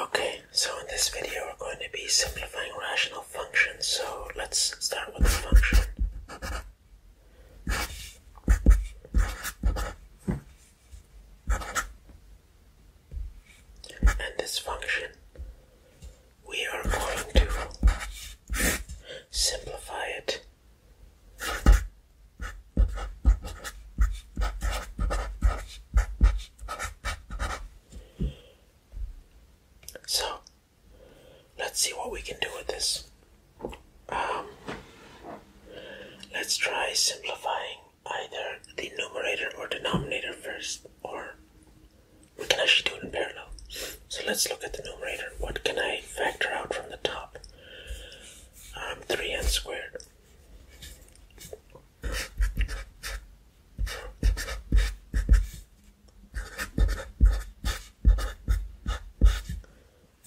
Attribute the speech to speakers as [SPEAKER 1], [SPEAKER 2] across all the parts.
[SPEAKER 1] Okay, so in this video we're going to be simplifying rational functions, so let's start with the function. And this function, we are going to simplify it. So, let's see what we can do with this. Um, let's try simplifying either the numerator or denominator first, or we can actually do it in parallel. So let's look at the numerator. What can I factor out from the top? Um, 3n squared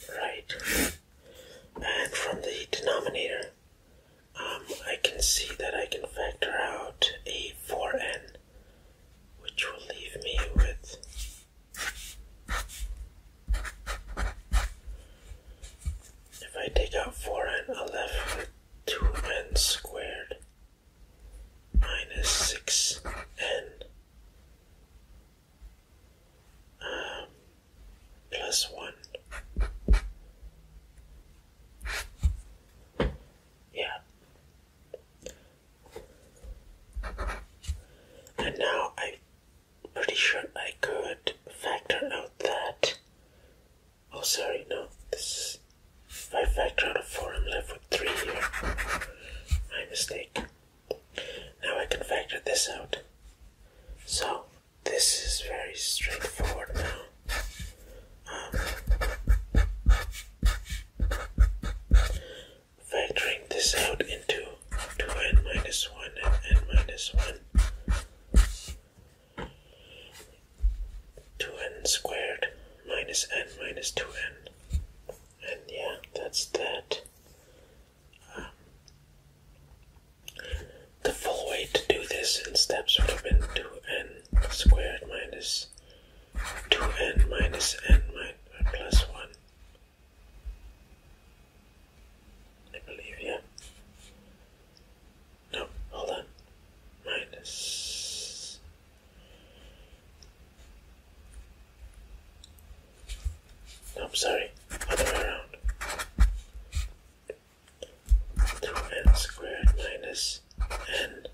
[SPEAKER 1] Right. And from the denominator, um, I can see that I can factor out a 4n, which will leave me with if I take out 4 n, I will left 2n squared minus 6n um, plus 1. Yeah. And now I pretty sure I could factor out that. Oh, sorry, no. This is, if I factor out a 4, I'm left with 3 here. My mistake. Now I can factor this out. So, this is very straightforward now. Um, factoring this out into 2n minus 1 and n minus 1 2n squared minus n minus 2n. And yeah, that's that. Um, the full way to do this in steps would have been 2n squared minus 2n minus n minus uh, plus 1. I believe, yeah. No, hold on. Minus. No, I'm sorry. Other way around. 2n squared minus n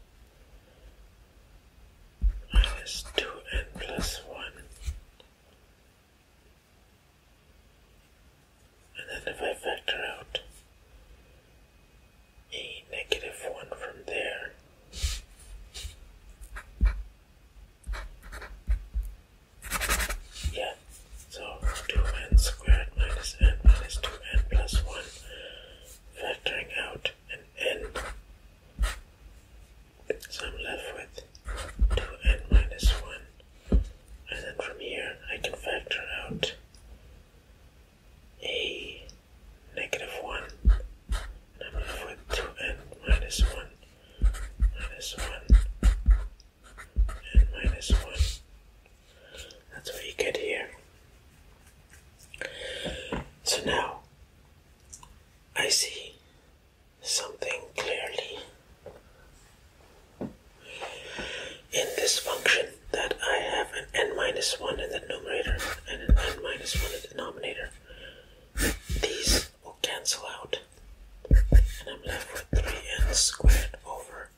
[SPEAKER 1] minus 2n plus 1 and then if I factor out a negative one from there, yeah, so 2n squared minus n minus 2n plus 1, factoring out an n. So I'm left with 2n minus 1 and then from here I can factor out a negative 1 and i minus 1 minus 1 and minus 1 that's what you get here so now I see something clearly in this function that I have an n minus 1 in the numerator and an n minus 1 in the denominator. These will cancel out, and I'm left with 3n squared over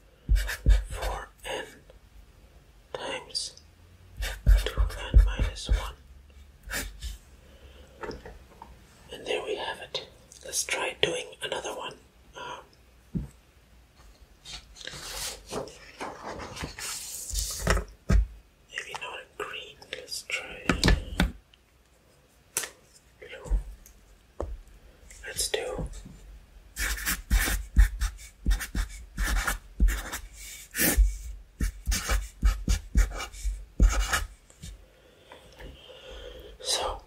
[SPEAKER 1] 4n times 2n minus 1. And there we have it let's try doing another one. Um, maybe not green, let's try blue. Let's do. So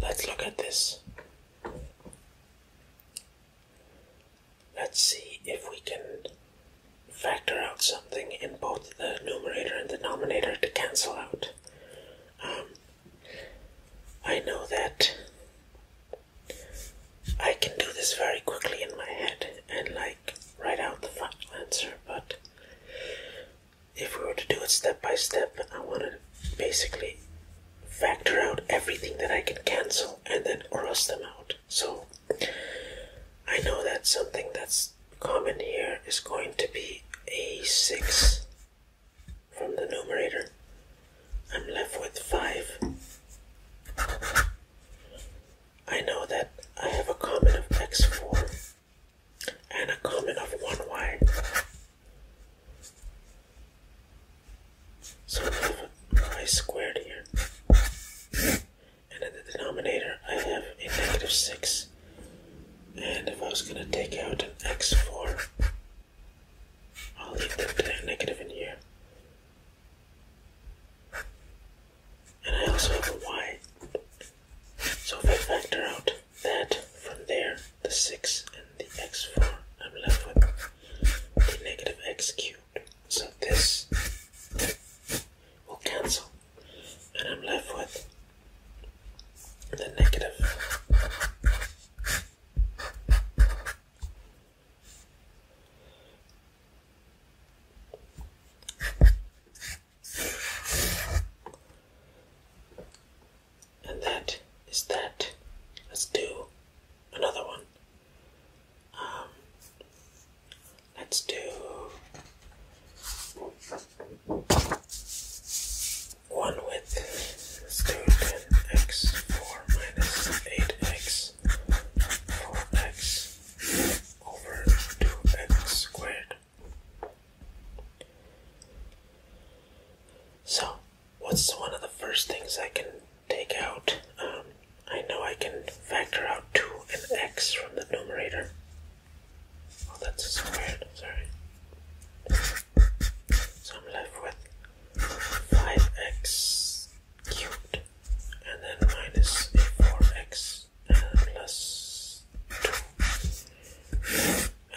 [SPEAKER 1] let's look at this. Let's see if we can factor out something in both the numerator and denominator to cancel out. Um, I know that I can do this very quickly in my head and like write out the final answer, but if we were to do it step by step, I want to basically factor out everything that I can cancel and then cross them out. So I know that something that's common here is going to be a 6 from the numerator. I'm left with 5. I know that I have a common of x4 and a common of one y, So I have y squared here. And in the denominator, I have a negative 6. And if I was going to take out an x4, I'll leave the negative in here. And I also have a y. So if I factor out that from there, the 6 and the x4, I'm left with the negative x cubed. So this will cancel, and I'm left with the negative and that is that. Let's do another one. Um, let's do one with square x four minus eight x four x over two x squared so, what's one of the first things I can take out? Um, I know I can factor out 2 and x from the numerator. Oh, that's squared, sorry. So I'm left with 5x cubed and then minus 4x plus 2.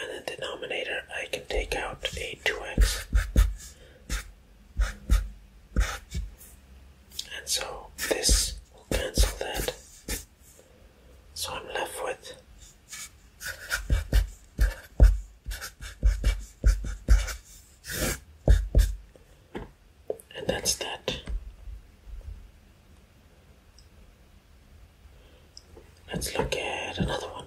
[SPEAKER 1] And the denominator, I can take out a 2x. And so this will cancel that. So I'm left with. And that's that. Let's look at another one.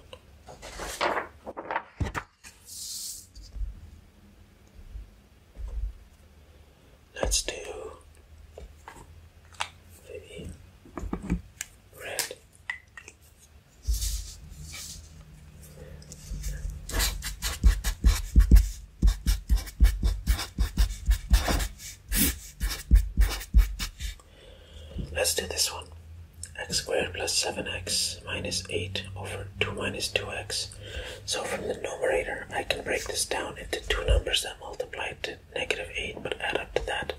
[SPEAKER 1] Let's do red. Let's do this one. x squared plus 7x minus 8 over 2 minus 2x. So from the numerator, I can break this down into two numbers that multiply to negative 8 but add up to that.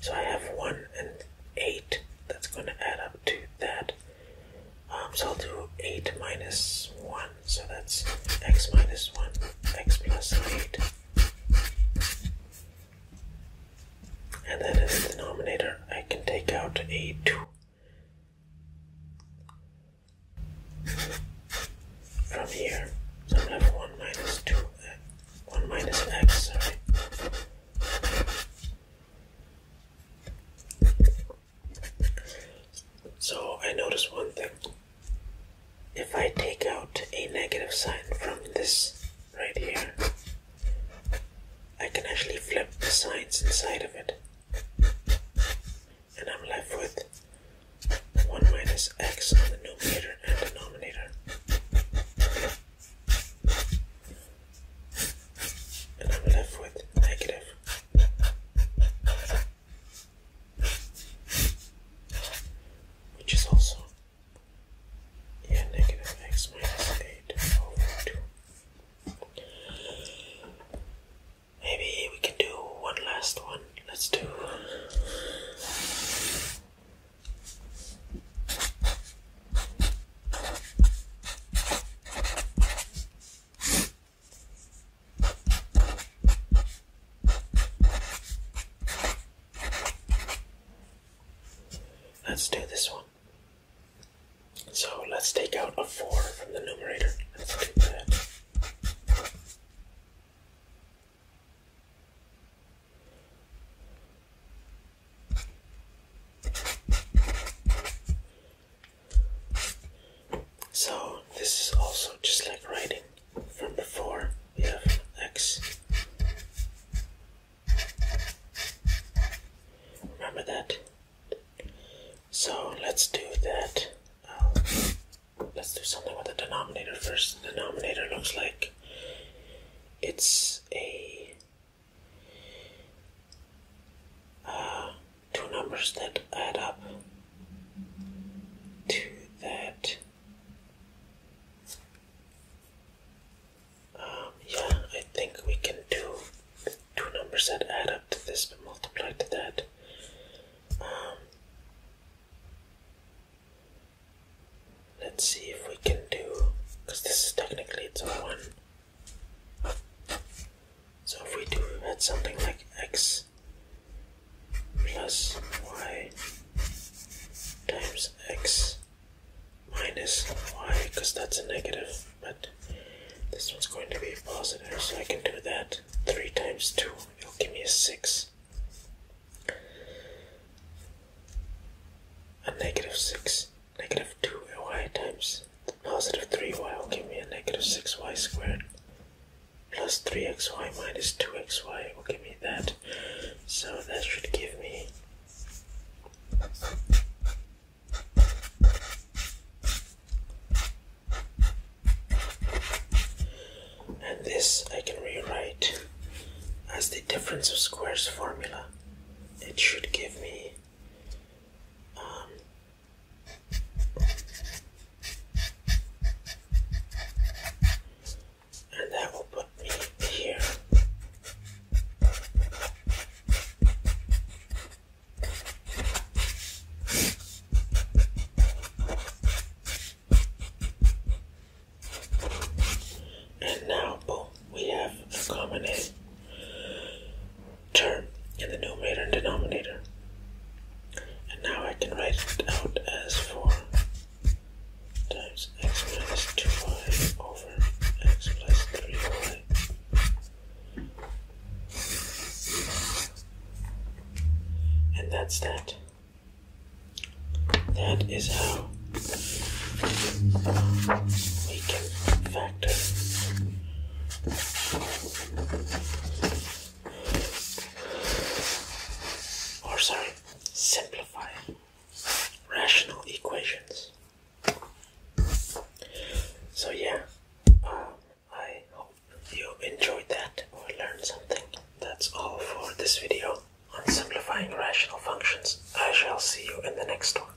[SPEAKER 1] So I have 1 and 8. That's going to add up to that. Um, so I'll do 8 minus 1 so that's x minus 1, x plus 8. And then in the denominator, I can take out a 2 from here. So i have 1 minus 2, 1 minus x, sorry. So I noticed one thing if I take out a negative sign from this right here, I can actually flip the signs inside of it. And I'm left with 1 minus x on the numerator and denominator. And I'm left with negative which is also yeah negative x minus 8 maybe we can do one last one let's do Let's do this one. So let's take out a 4 from the numerator. So, this is also just like writing. From before, we have x. Remember that? So let's do that. Um, let's do something with the denominator first. The denominator looks like it's a uh, two numbers that add up to that. Um, yeah, I think we can do two numbers that add up to this but to that. Um, let's see if we can do, because this is technically it's a 1. So if we do had something like x plus y times x minus y, because that's a negative, but this one's going to be positive, so I can do that. 3 times 2, it'll give me a 6. A negative 6, negative 2y times positive 3y will give me a negative 6y squared plus 3xy minus 2xy will give me that. So that should give me and this I can rewrite as the difference of squares formula. It should give me um, and that will put me here. And now, boom, we have a common name term in the numerator and denominator. And now I can write it out as 4 times x minus 2y over x plus 3y. And that's that. That is how we can factor or sorry, simplify rational equations. So, yeah, uh, I hope you enjoyed that or learned something. That's all for this video on simplifying rational functions. I shall see you in the next one.